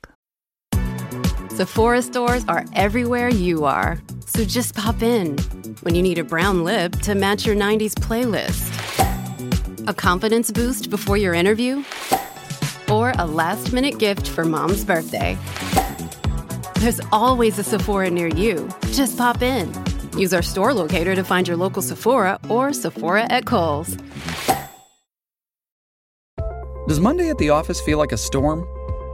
Good evening. Sephora stores are everywhere you are, so just pop in when you need a brown lip to match your 90s playlist, a confidence boost before your interview, or a last minute gift for mom's birthday. There's always a Sephora near you. Just pop in. Use our store locator to find your local Sephora or Sephora at Kohl's. Does Monday at the office feel like a storm?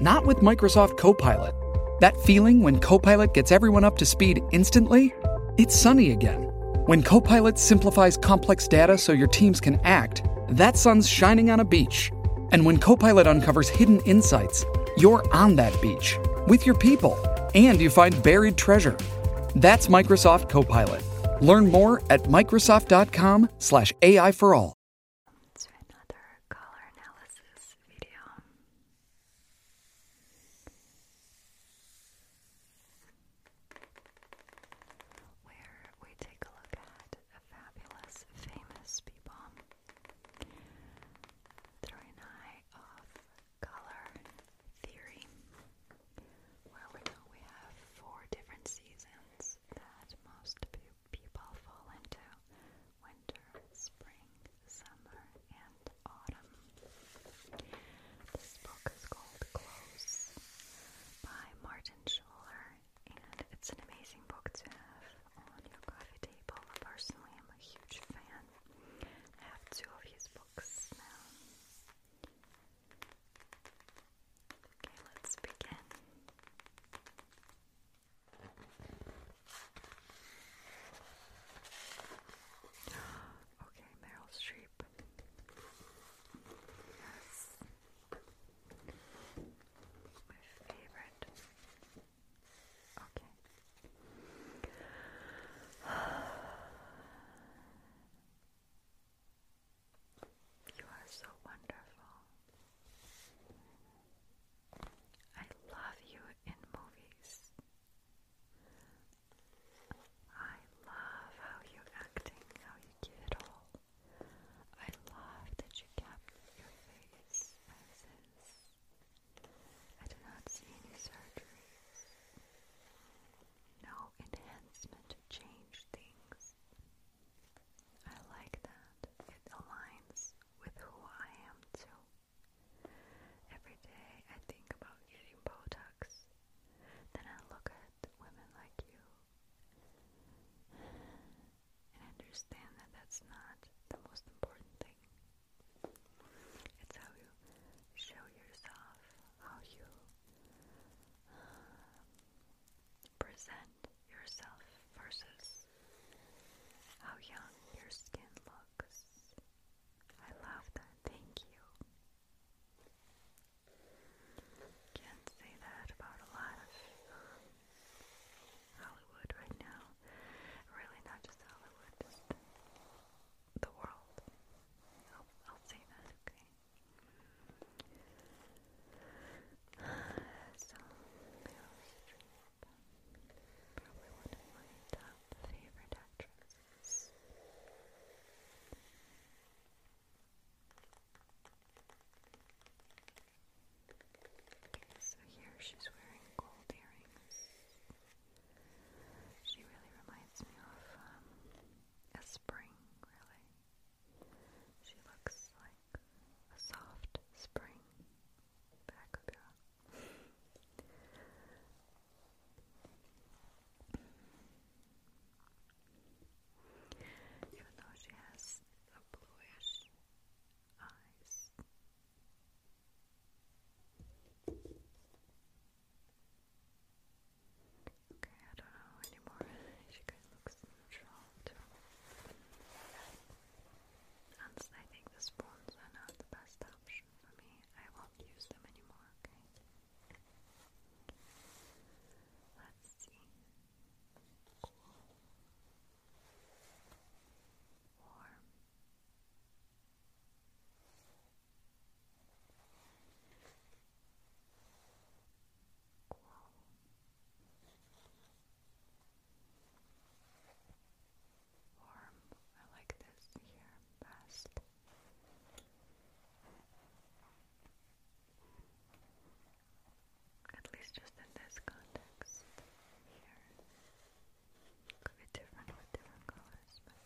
Not with Microsoft Copilot. That feeling when Copilot gets everyone up to speed instantly? It's sunny again. When Copilot simplifies complex data so your teams can act, that sun's shining on a beach. And when Copilot uncovers hidden insights, you're on that beach with your people and you find buried treasure. That's Microsoft Copilot. Learn more at Microsoft.com slash AI for all. Let's do another color analysis video. Where we take a look at a fabulous, famous bee balm through eye of color theory. Well, we know we have four different seasons that most people fall into winter, spring, summer, and autumn. This book is called Close by Martin Schuller and it's an amazing book to have on your coffee table. Personally, I'm a huge fan. have two of his books now. Okay, let's begin. Okay, Meryl Streep. Yes. My favorite. Okay. You are so wonderful. I love you in movies. I love how you're acting, how you give it all. I love that you kept your face as is. I do not see any surgeries. No enhancement to change things. I like that. It aligns with who I am too. Every day I think about getting Botox. Then I look at women like you and I understand that that's not the most important thing. It's how you show yourself, how you uh, present yourself versus how young your skin looks. I love that. Thank you. Can't say that about a lot of Hollywood right now. Really, not just Hollywood, the world. I'll, say that, okay? So, probably one of my top favorite actresses so here she's wearing gold earrings. She really reminds me of um, a spring, really. She looks like a soft spring bacobira. Even though she has a bluish eyes. Okay, I don't know anymore. She kind of looks neutral too. And I think the spoons are not the best option for me. I won't use them anymore, okay? Let's see cool, warm. Warm. I like this here best at least just in this context here. Could be different with different colors, this one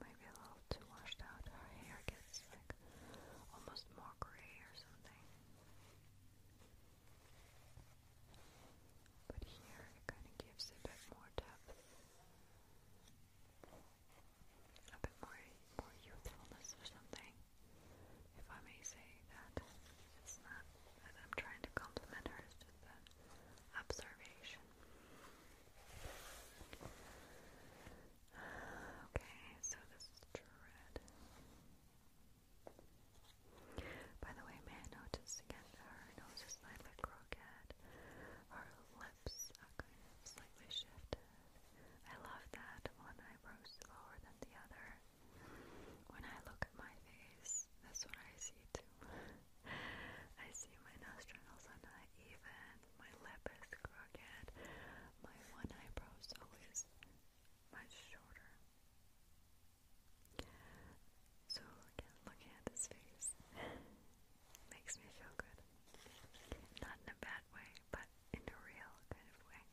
may be a little too washed out. Her hair gets like almost more gray or something. But here it kind of gives a bit more depth. A bit more, more youthfulness or something. If I may say that. It's not that I'm trying to compliment her, it's just an observation. okay, so this is dread. By the way, may I notice her nose is slightly crooked. Her lips are kind of slightly shifted. I love that one eyebrow is lower than the other. When I look at my face, that's what I see too. I see my nostrils are not even, my lip is crooked, my one eyebrow is always much shorter. So again, looking at his face makes me feel good. Not in a bad way, but in a real kind of way.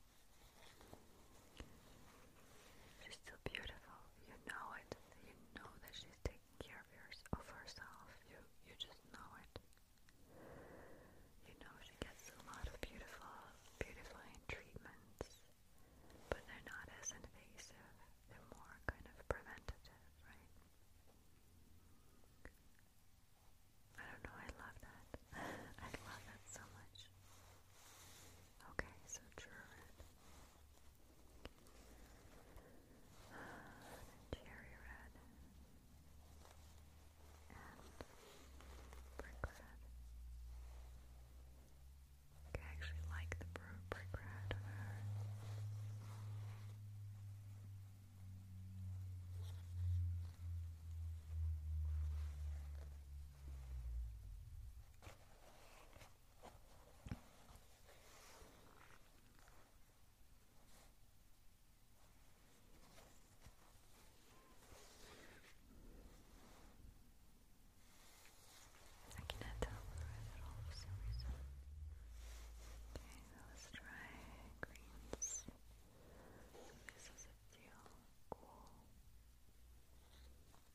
She's still beautiful. You know it. You know that she's taking care of, herself. You you just know it. You know she gets a lot of beautiful, beautifying treatments, but they're not as invasive they're more kind of preventative, right? I don't know, I love that. I love that so much. Okay, so Druid. And cherry red. And brick red. I actually like the brick red on her. I cannot tell the red for some reason. Okay, let's try greens. This is a teal, cool,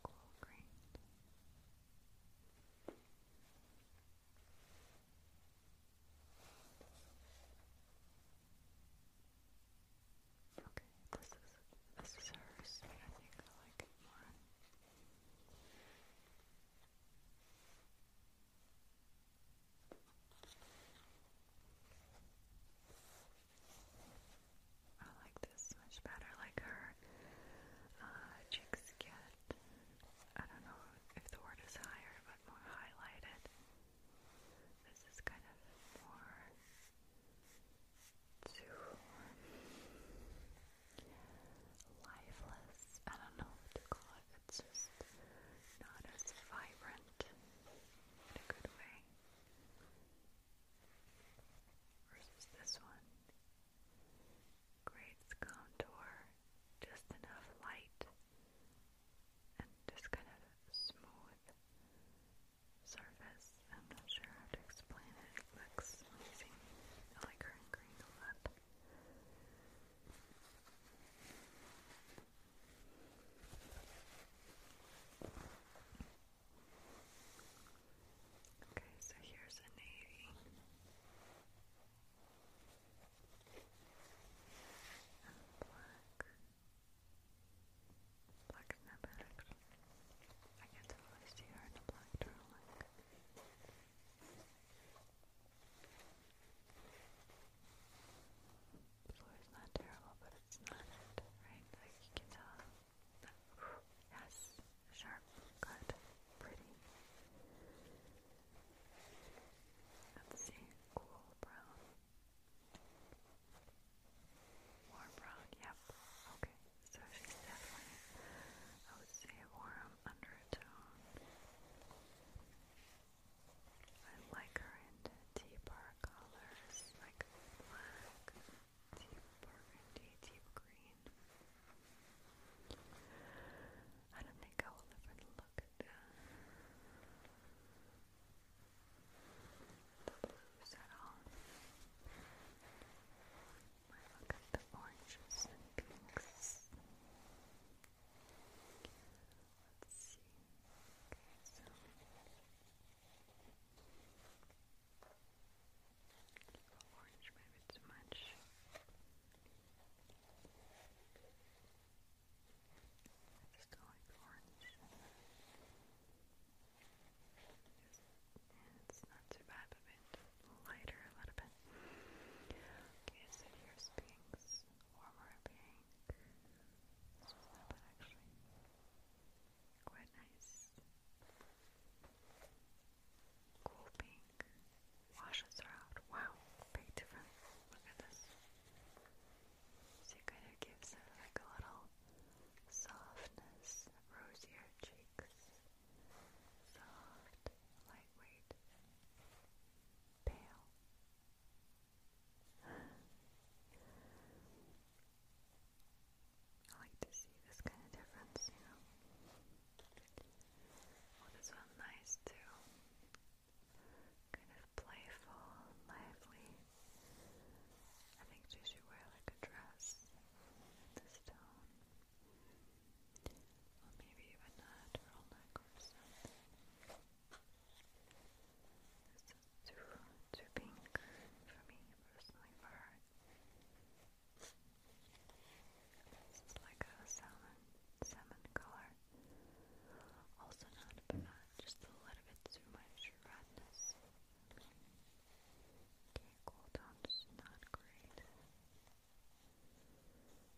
cool green. Okay, this is this is hers. I think I like it more. I like this much better, like her uh, cheeks get, I don't know if the word is higher, but more highlighted. This is kind of more too lifeless. I don't know what to call it. It's just not as vibrant in a good way. Versus this one. Great contour, just enough light and just kind of smooth surface. I'm not sure how to explain it. looks amazing. I like her green a lot. Okay, so here's a navy. And black. Black is not actually. I can totally see her in the black turtleneck. Floor's not terrible, but it's not it, right? Like you can tell. yes, sharp, good, pretty. Let's see, cool brown. Warm brown, yep, okay. So she's definitely, a warm undertone. I like her in the deeper colors, like black, deep burgundy, deep green. I don't think I will ever look The blues at all. I look at the oranges and pinks. Let's see. orange maybe too much. I just do orange. It's not too bad, a bit lighter, a little bit. Okay, so here's pinks, warmer pink. This was not actually. Quite nice. Cool pink. Washes are out. Wow, big difference. Look at this. So it gives like a little softness, rosier cheeks soft, lightweight, pale. I like to see this kind of difference, you know. Oh, this one's nice too. Kind of playful, lively. I think she should wear like a dress the stone. Or maybe even a turtleneck neck or something. This is too, too pink for me personally for This is like a salmon, salmon color. Also not, but not just a little bit too much redness. Okay, cooldown's not great.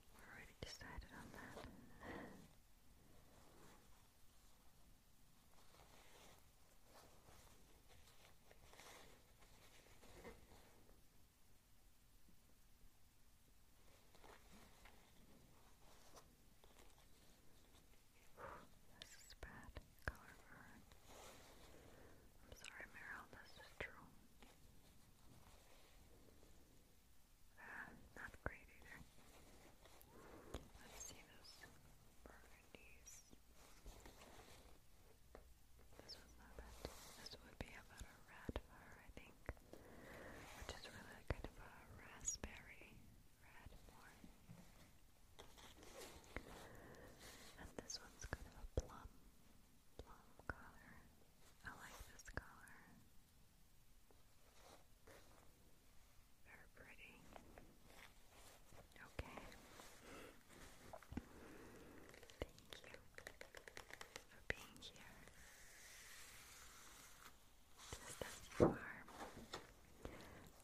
We're already decided on that. this is bad color of I'm sorry, Meryl, this is true. Ah, not great either. Let's see those burgundies. This was not bad. This would be about a red fur, I think. Which is really kind of a raspberry red more. And this one's kind of a plum, plum color. I like this color. Very pretty. Okay. Thank you for being here.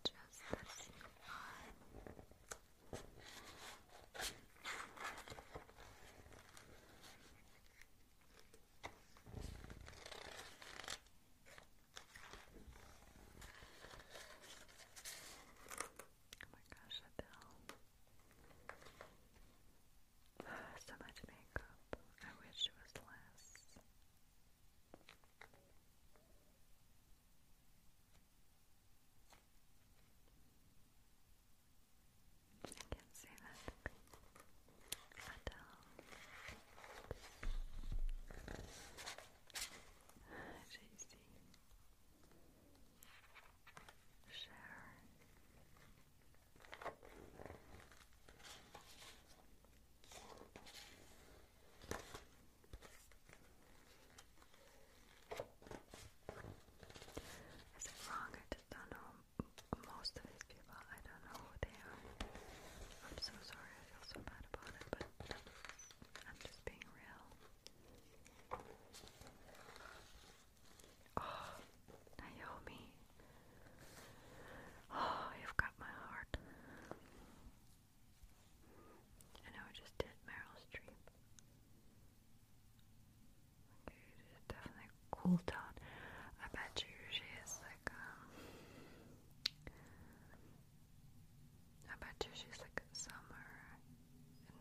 Just as you Just as you Oh my gosh, Adele. So much makeup. I wish it was less. I can't see that at JC Share is it wrong? I just don't know most of these people. I don't know who they are. I'm so sorry. I feel so bad about it, but I'm just being real. Oh, Naomi. Oh, you've got my heart. I know I just did Meryl Streep. definitely cooled down. I bet you she is like, um, I bet you she's like somewhere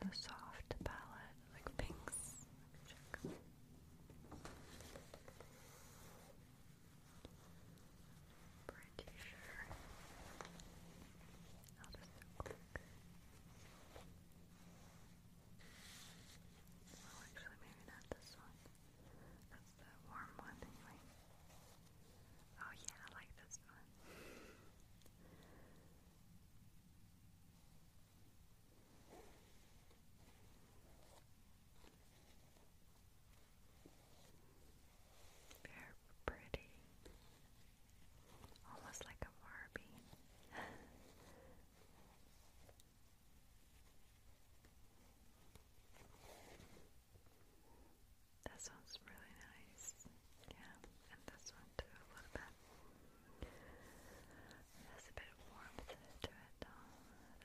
in the soft palette, like pinks pretty sure. I'll just click. actually, maybe not this one. That's the warm one, anyway. Oh, yeah, I like this one. Very pretty. Almost like a Barbie. that sounds really nice. Yeah, and this one too, a little bit. There's a bit of to it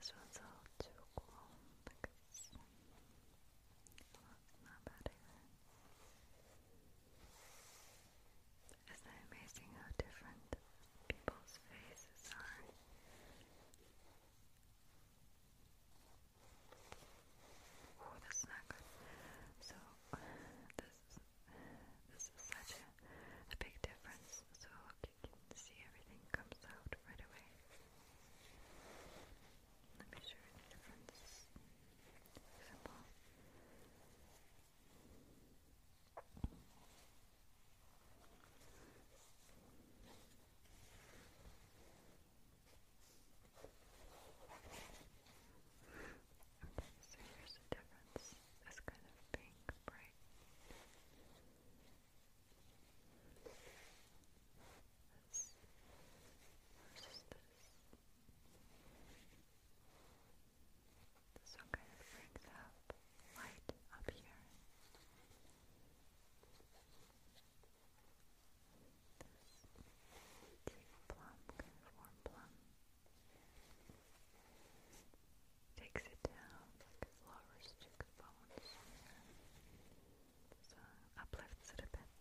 This one's all too cool. Like it's Isn't it amazing how different people's faces are? Oh, this is So this this is such a, big difference. So look, you see everything comes out right away. Let me show you the difference. Simple. Okay, so here's the difference. This kind of pink, bright. That's versus this so kind of brings up light up here. deep plum, kind of warm plum. Takes it down like it lowers uplifts it a bit.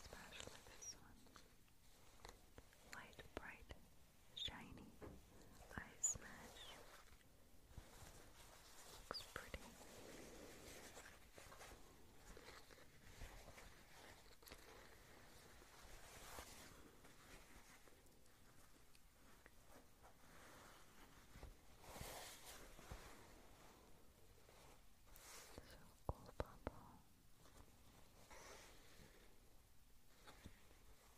Especially this one. Light, bright, shiny eye smash. Looks pretty. Circle bubble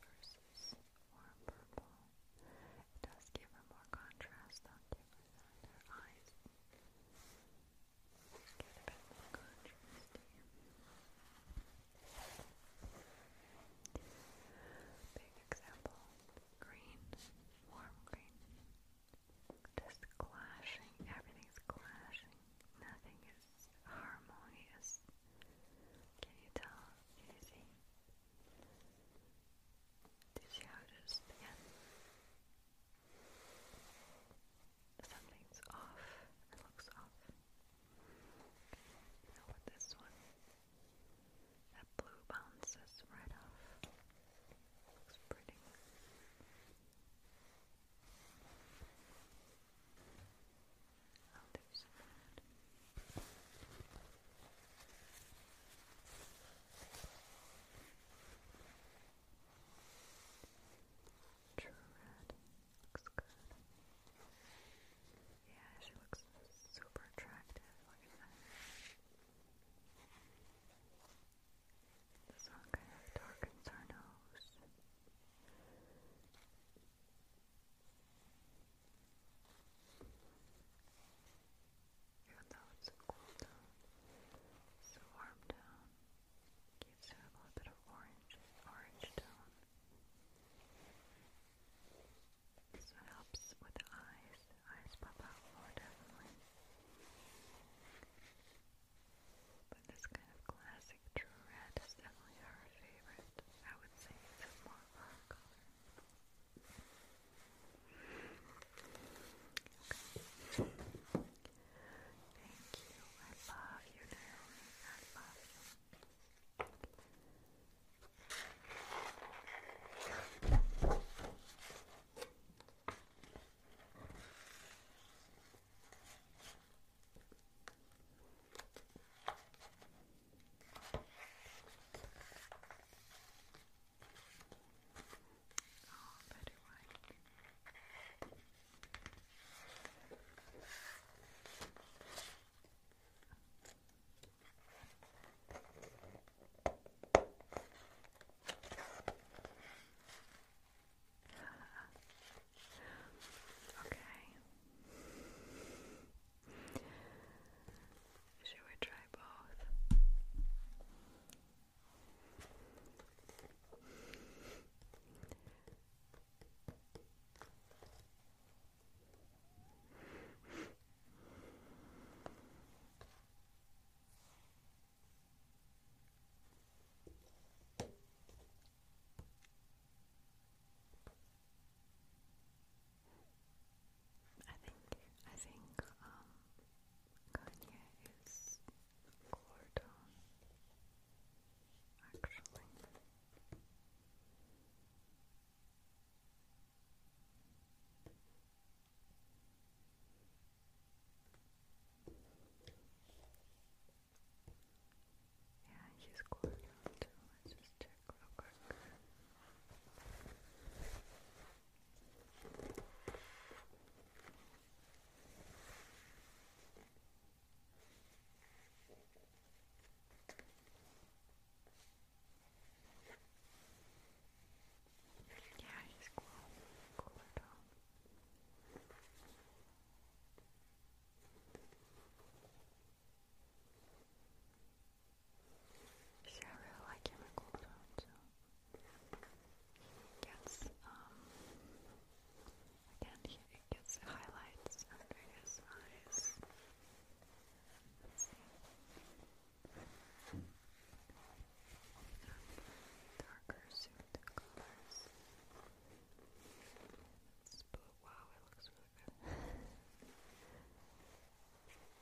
versus warm purple. It does give her more contrast, I'll eyes. get a bit more contrast Big example, green, warm green. Just clashing, everything's clashing. Nothing is harmonious. Can you tell? Can you see? Do you see something's off. It looks off. Now with this one, that blue bounces right off. Looks pretty. I'll do true red. Looks good. Yeah, she looks super attractive. Look at that. This one kind of darkens our nose. Even though it's so cool down, so warm down. Gives her a little bit of orange, orange tone. So it helps with eyes. eyes pop out more definitely. But this kind of classic true red is definitely her favorite. I would say it's more of her color. Thank you. I love you, Naomi. I love you. Oh, Betty White. Okay. Should we try both? I think I think um Kanye is Gordon actually. Yeah, he's going too. Let's just check real quick. Yeah, he's cool. Cool at See, I really like him at cool down, so um, again, gets highlights under his eyes. Darker suit colors. It's, but wow, it looks really good.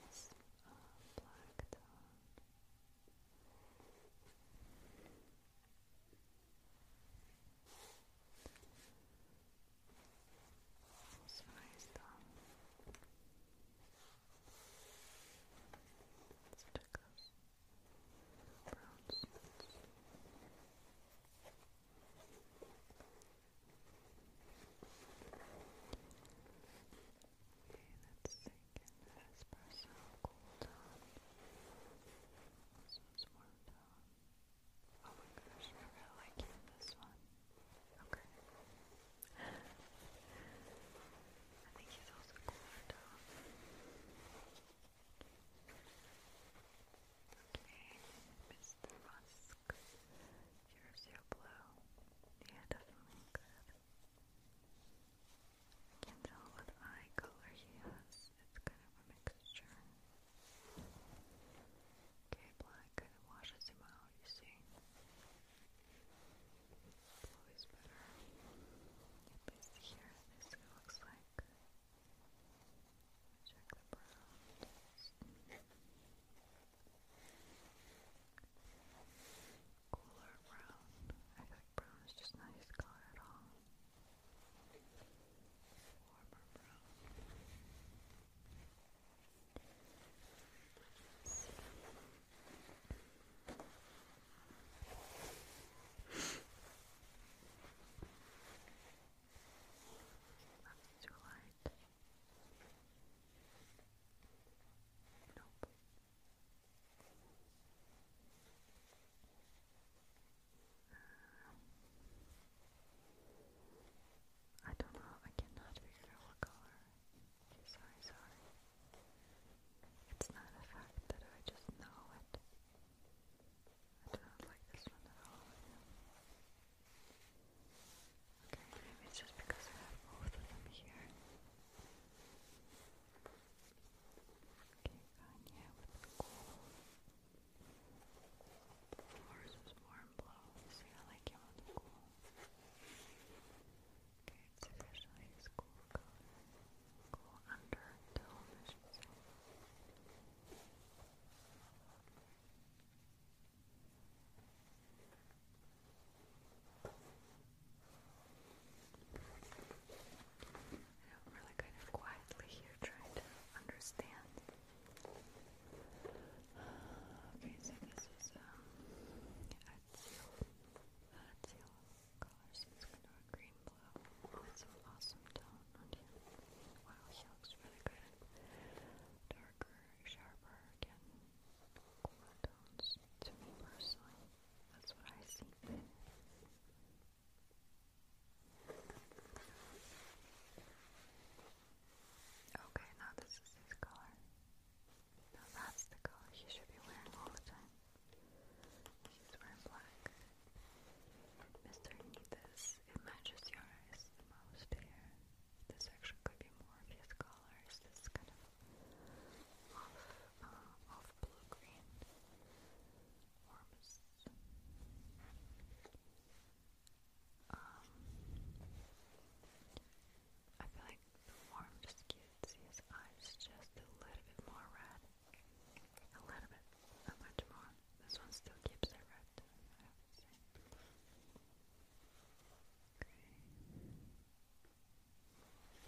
it's uh, black tone smells though. Let's check Okay, let's take an espresso cool those more Oh my gosh, I really like this one. Okay. Okay, Mr. Musk. Here's your blue. Yeah, definitely good. I can't tell what eye color he has. It's kind of a mixture. Okay, black washes him out, you see. Blue is better. At least here, this looks like. Check the brown. Cooler brown brown is just not his color Warmer brown. Let's see. light. Nope. Uh, I don't know. I cannot figure out what color. Sorry, sorry. It's not a fact that I just know it. I do not like this one at all. Okay, maybe it's just because I have both of them here. Kanye would be cool. Force is warm blow. See, I like him on the cool. Okay, it's officially cool color. Cool under tone, I should say. I'm really kind of quietly here trying to understand. okay, so this is um, Azul, Azul color, so kind of a green blue. That's an awesome tone on him. Wow, he looks really good. Darker, sharper, again, cooler tones to me personally. That's what I see. Okay, now this is his color. Now that's the color he should be wearing all the time. He's wearing black. Mr. Neethis, it matches yours the most here. This actually could be more of his colors. This kind of off, uh, off blue green forms. Um, I feel like the warmth skewed his eyes just a little bit more red. A little bit, not much more. This one still keeps it red, Okay.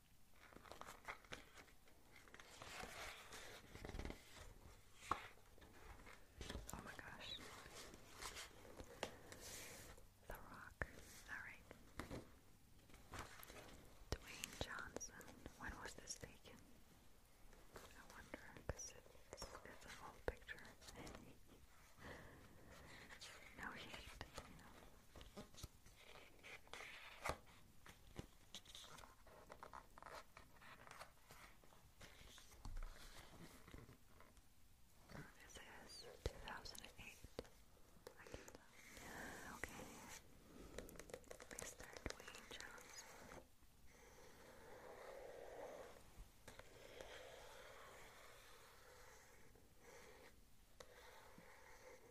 Oh my gosh. The Rock. Alright. Dwayne Johnson. When was this taken? I wonder, because it's, it's an picture. no heat, you this is 2008. Okay. Mr. Dwayne Johnson.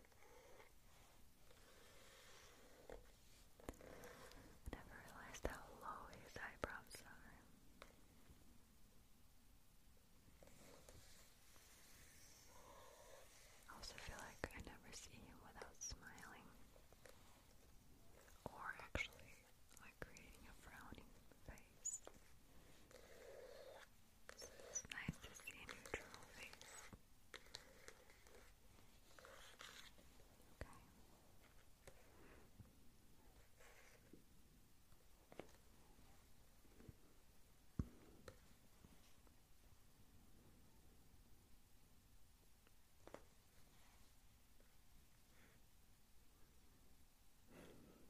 I never realized how low his eyebrows are. I also feel like I never see him without smiling. Or actually, like creating a frowning face. So it's nice to see a neutral face. Okay.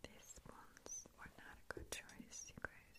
These ones were not a good choice, you guys.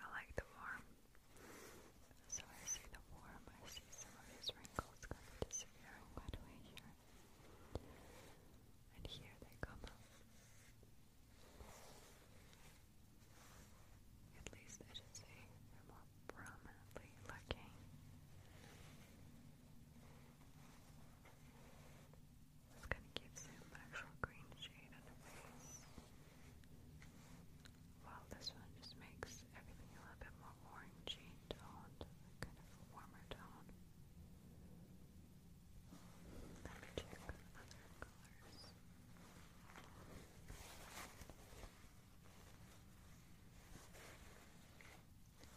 I like the warm. So I see the warm, I see some of these wrinkles kind of disappearing right away here. And here they come At least I should say they're more prominently looking. This kind of gives him an actual green shade on the face. While this one just makes everything a little bit more orangey toned, kind of a warmer tone. Let me check other colors.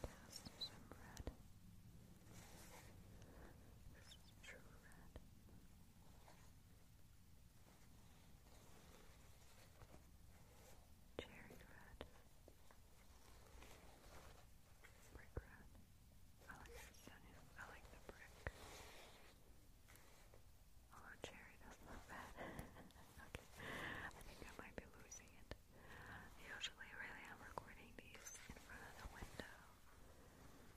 Cast some red. This is true red. Cherry red. Brick red. I like the sunny. I like the brick. Although cherry doesn't look bad. okay. I think I might be losing it. Usually, really, I'm recording these in front of the window,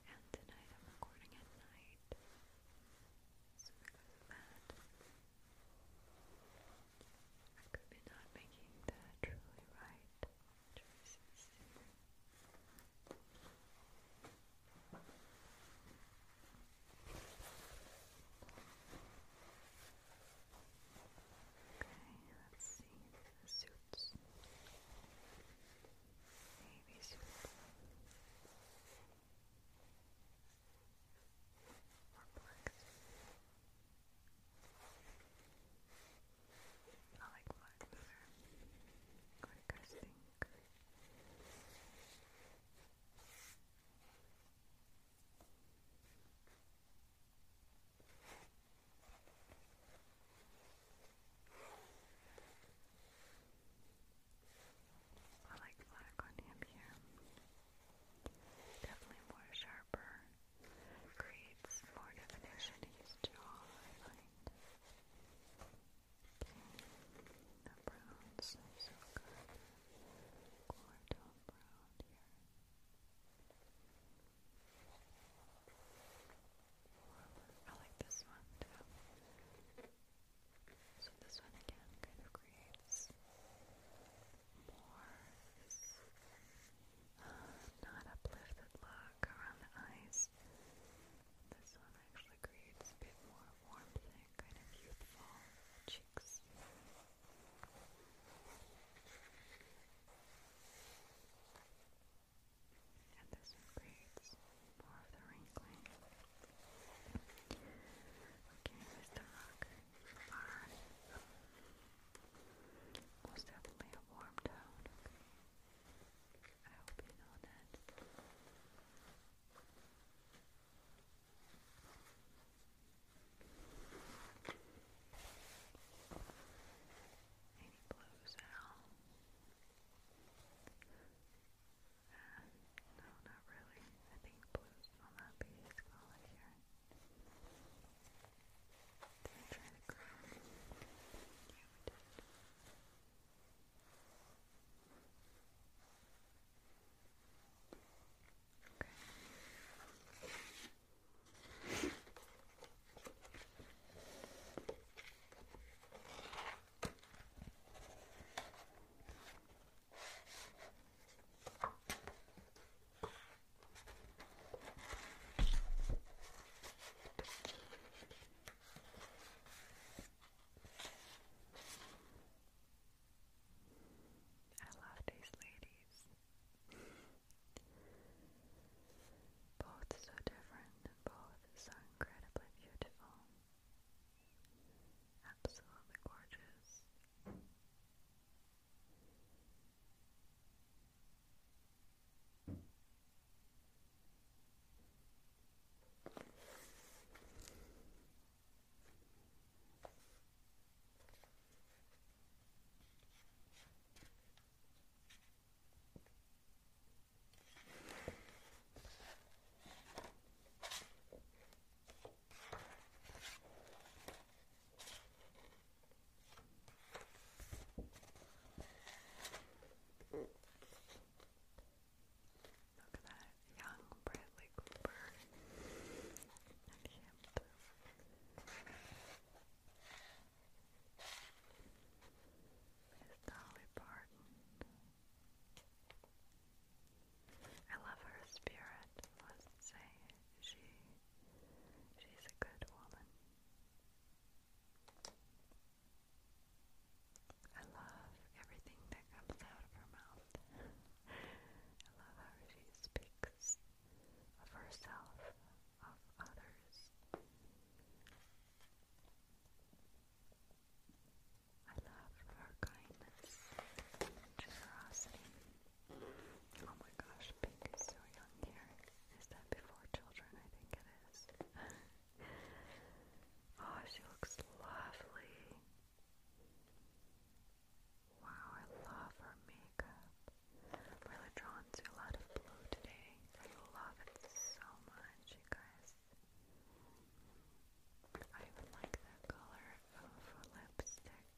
and tonight I'm recording at night. So because of that, I could be not making the truly right Okay, let's see suits. Navy suit. Or black I like black better. Quick, I think. I like black on him here. Definitely more sharper. Creates more definition to his jaw, I find. The brown's so good. Quarto brown here. I like this one So this one again kind of creates more this, uh, not look around the eyes. This one actually creates a bit more warmth and kind of youthful cheeks. And this creates more of the wrinkling. Okay, Mr. Rock, your definitely a warm tone, I hope you know that. And he blows out. no, not really. I think blues will not be color here. Did to grow? I love these ladies. Both so different and both so incredibly beautiful. Absolutely gorgeous. Look at that young Bradley Cooper and him. There's Dolly Parton. I love her spirit, I must say. She she's a good woman. I love everything that comes out of her mouth. I love how she speaks of herself, of others. I love her kindness and generosity. Oh my gosh, Pink so young here. Is that before children? I think it is. oh, she looks lovely. Wow, I love her makeup. really drawn to a lot of blue today. I love it so much, you guys. I even like the color of her lipstick.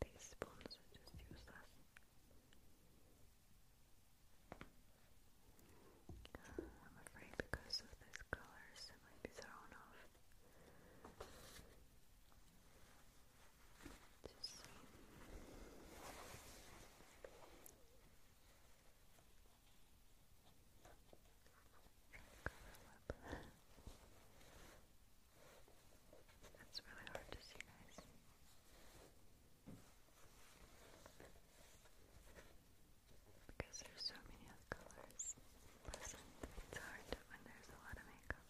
These spoons are just useless. Uh, I'm afraid because of these colors I might be thrown off. Just see. That's really hard to see, guys because there's so many colors present. It's hard when there's a lot of makeup.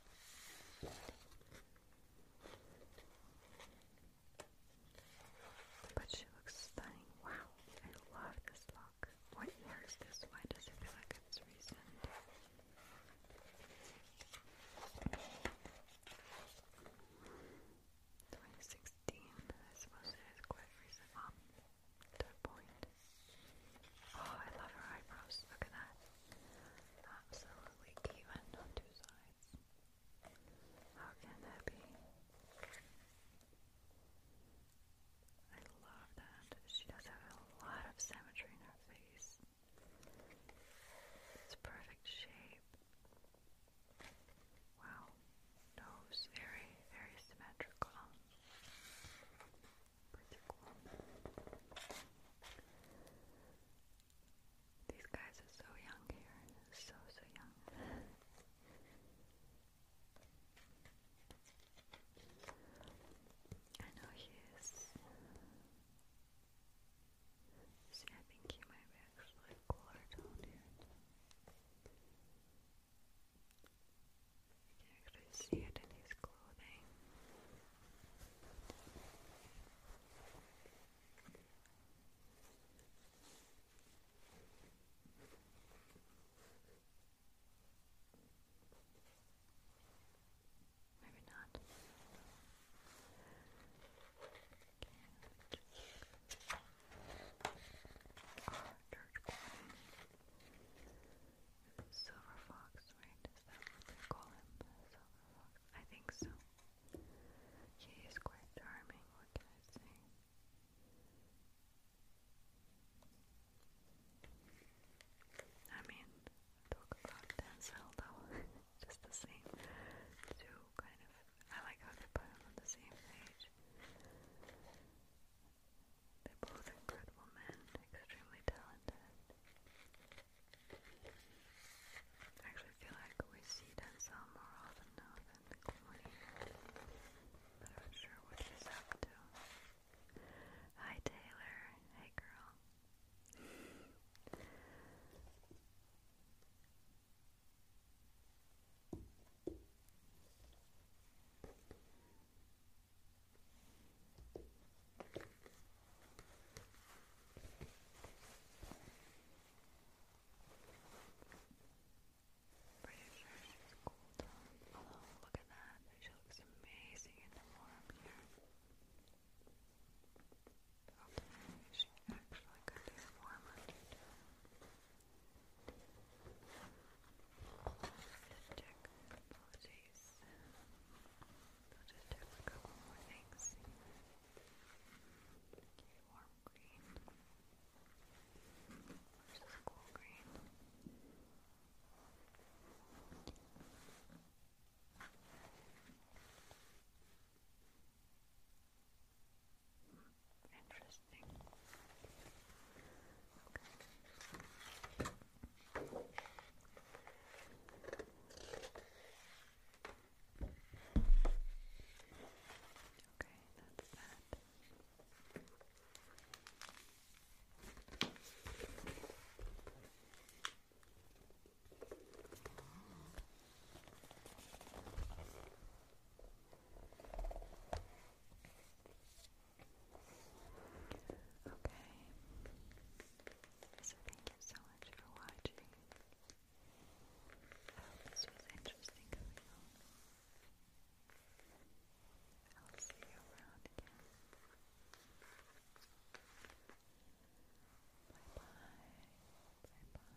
But she looks stunning. Wow, I love this look. What year is this? Why does it feel like it's recent? 2016. I suppose it is quite recent. Um, point. Oh, I love her eyebrows. Look at that. Absolutely even on two sides. How can that be? I love that. She does have a lot of symmetry in her face. It's perfect shape. Wow, nose very, very symmetrical. Pretty cool. These guys are so young here, so, so young. I know he is. See, I think he might be actually cooler down here. You can see it in his clothing. Maybe not. Silver Fox, right? Is that what they call him? Silver Fox? I think so. He is quite charming, what can I say? I mean, talk about Denzel though, just the same. Two kind of, I like how they put them on the same page. They're both incredible men, extremely talented. actually feel like we see Denzel more often now than Clooney, but sure what he's up to. Hi Taylor, hey girl. Pretty sure she's cooled down. look at that. She looks amazing in the warm here. she actually could do warmer too. Just check. Apologies. I'll just check a couple more things. Okay, warm green. Versus cool green. Okay, Interesting. Okay. that's that. Okay. So thank you so much for watching. this was interesting for you. I'll see you around Bye bye. Bye bye.